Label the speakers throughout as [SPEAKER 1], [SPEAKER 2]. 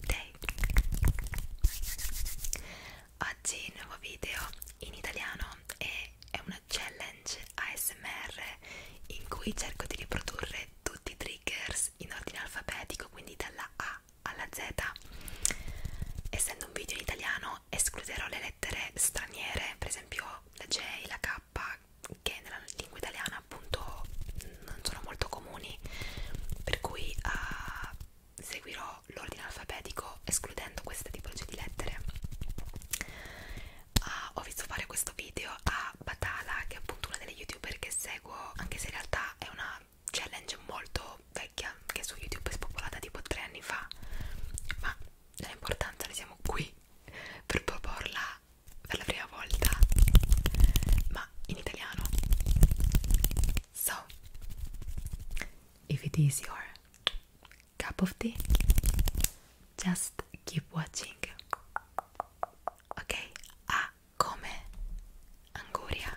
[SPEAKER 1] Day Oggi nuovo video in italiano e è una challenge ASMR in cui cerco di riprodurre tutti i triggers in ordine alfabetico quindi dalla A alla Z essendo un video in italiano escluderò le lettere straniere per esempio la J, la K che nella lingua italiana appunto non sono molto comuni per cui uh, seguirò l'ordine alfabetico escludendo questa tipologia di lettere uh, ho visto fare questo video a Batala che è appunto una delle youtuber che seguo anche se in realtà è una challenge molto vecchia che su youtube è spopolata tipo tre anni fa ma l'importanza ne siamo qui per proporla per la prima volta ma in italiano. So, if it is your cup of tea, just keep watching. Ok, A come anguria.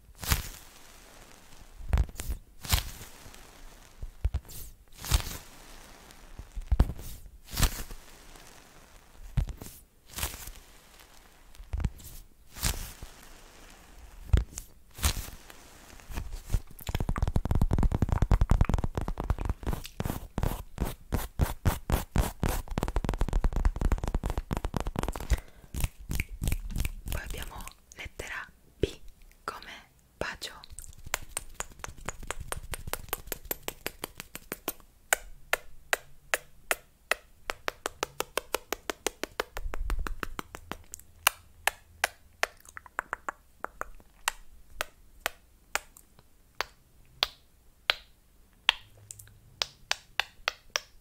[SPEAKER 1] Poi abbiamo lettera B come bacio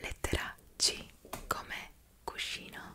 [SPEAKER 1] Lettera C come cuscino.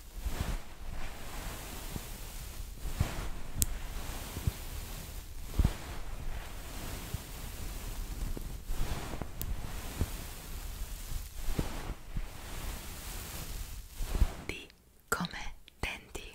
[SPEAKER 1] D come denti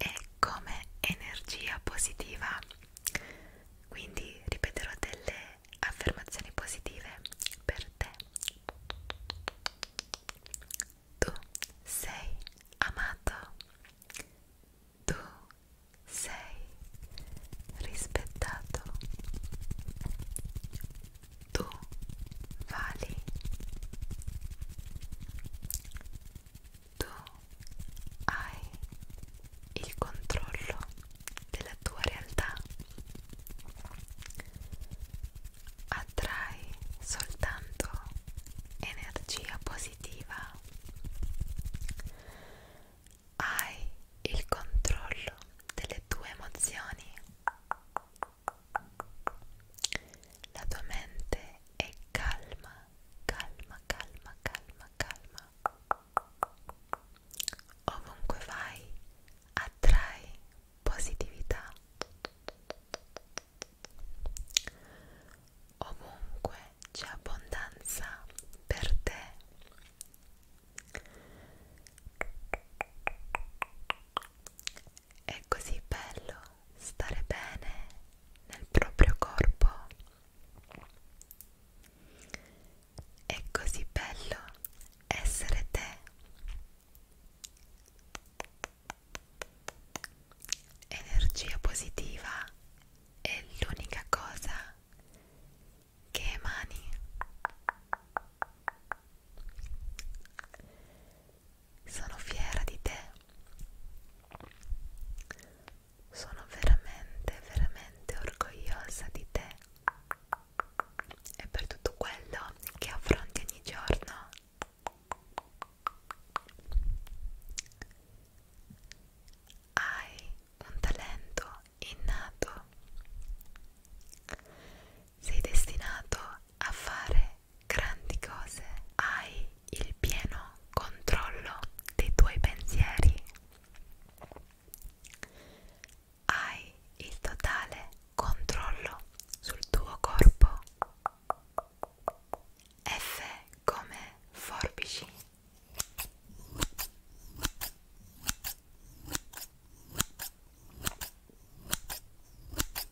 [SPEAKER 1] e come energia positiva quindi ripeterò delle affermazioni positive per te tu sei amato tu sei rispettato tu vali tu hai il controllo della tua realtà attrai soltanto energia positiva hai il controllo delle tue emozioni la tua mente è calma, calma, calma, calma, calma. Ovunque vai, attrai positività. Ovunque c'è abbondanza per te. È così bello stare bene nel proprio corpo. È così bello essere te. Energia positiva è l'unica cosa che emani. Sono fiera di te. Sono veramente, veramente orgogliosa di te e per tutto quello che affronti ogni giorno. Hai un talento innato. Sei destinato a fare grandi cose. Hai il pieno controllo dei tuoi pensieri. Hai il totale controllo sul tuo corpo. F come forbici.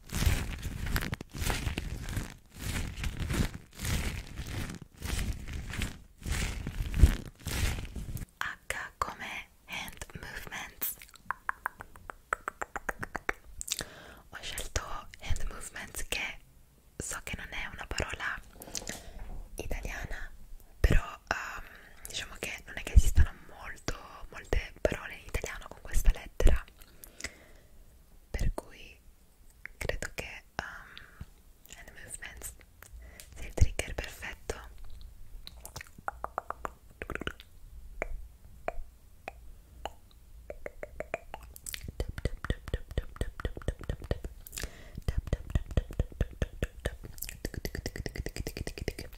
[SPEAKER 1] H come hand movements ho scelto hand movements che so che non è una parola italiana però um, diciamo che non è che esistano molto molte parole in italiano con questa lettera lettera per cui credo che um, Hand Movements sia il trigger perfetto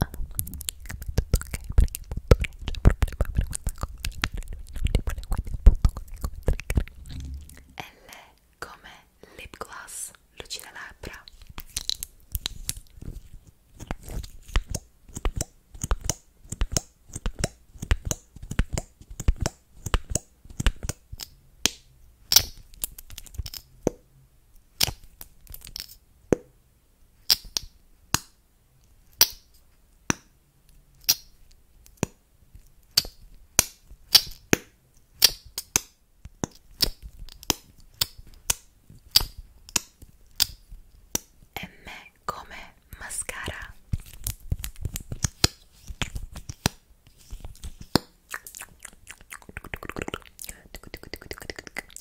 [SPEAKER 1] ah, tutto ok perché appunto non c'è problema per questa cosa non li vuole quindi appunto come, come trigger L come lip gloss lucida labbra L e me come mascara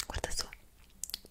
[SPEAKER 1] guarda su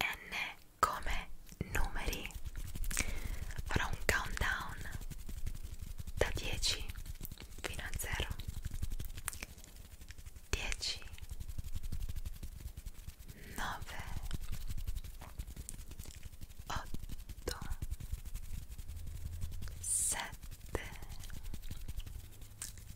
[SPEAKER 1] N come numeri farò un countdown da 10 fino a 0 10 9 8 7 6 5 4 3 2 1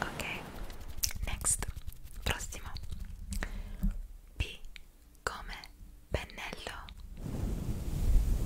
[SPEAKER 1] Ok, next, prossimo. B come pennello.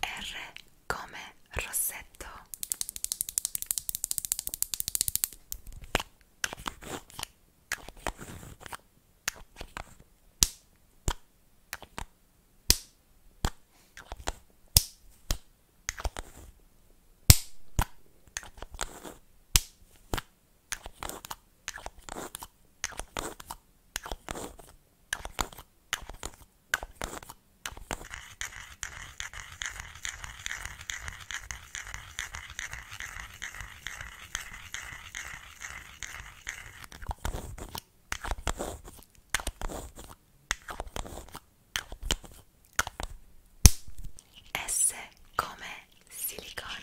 [SPEAKER 1] R come rossetto S come silicone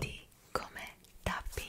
[SPEAKER 1] D come tapping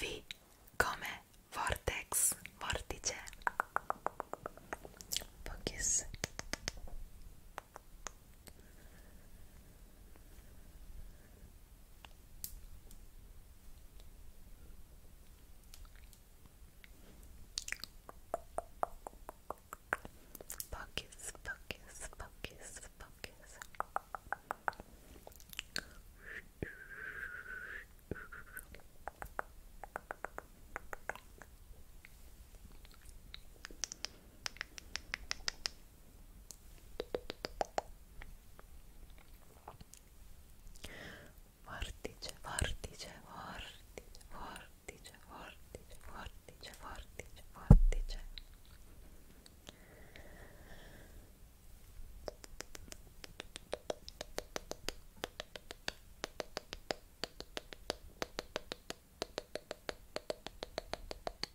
[SPEAKER 1] V come vortex, vortex. Focus. Focus, focus, focus, focus. Vortice, vortice, vortice, vortice. vortice, vortice, vortice, vortice, vortice.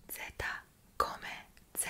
[SPEAKER 1] Z come Z.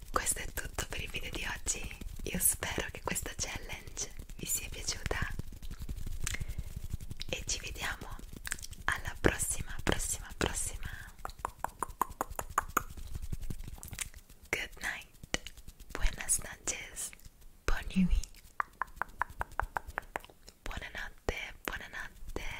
[SPEAKER 1] questo è tutto per il video di oggi io spero che questa challenge vi sia piaciuta e ci vediamo alla prossima prossima prossima good night buenas noches buon nuit buonanotte buonanotte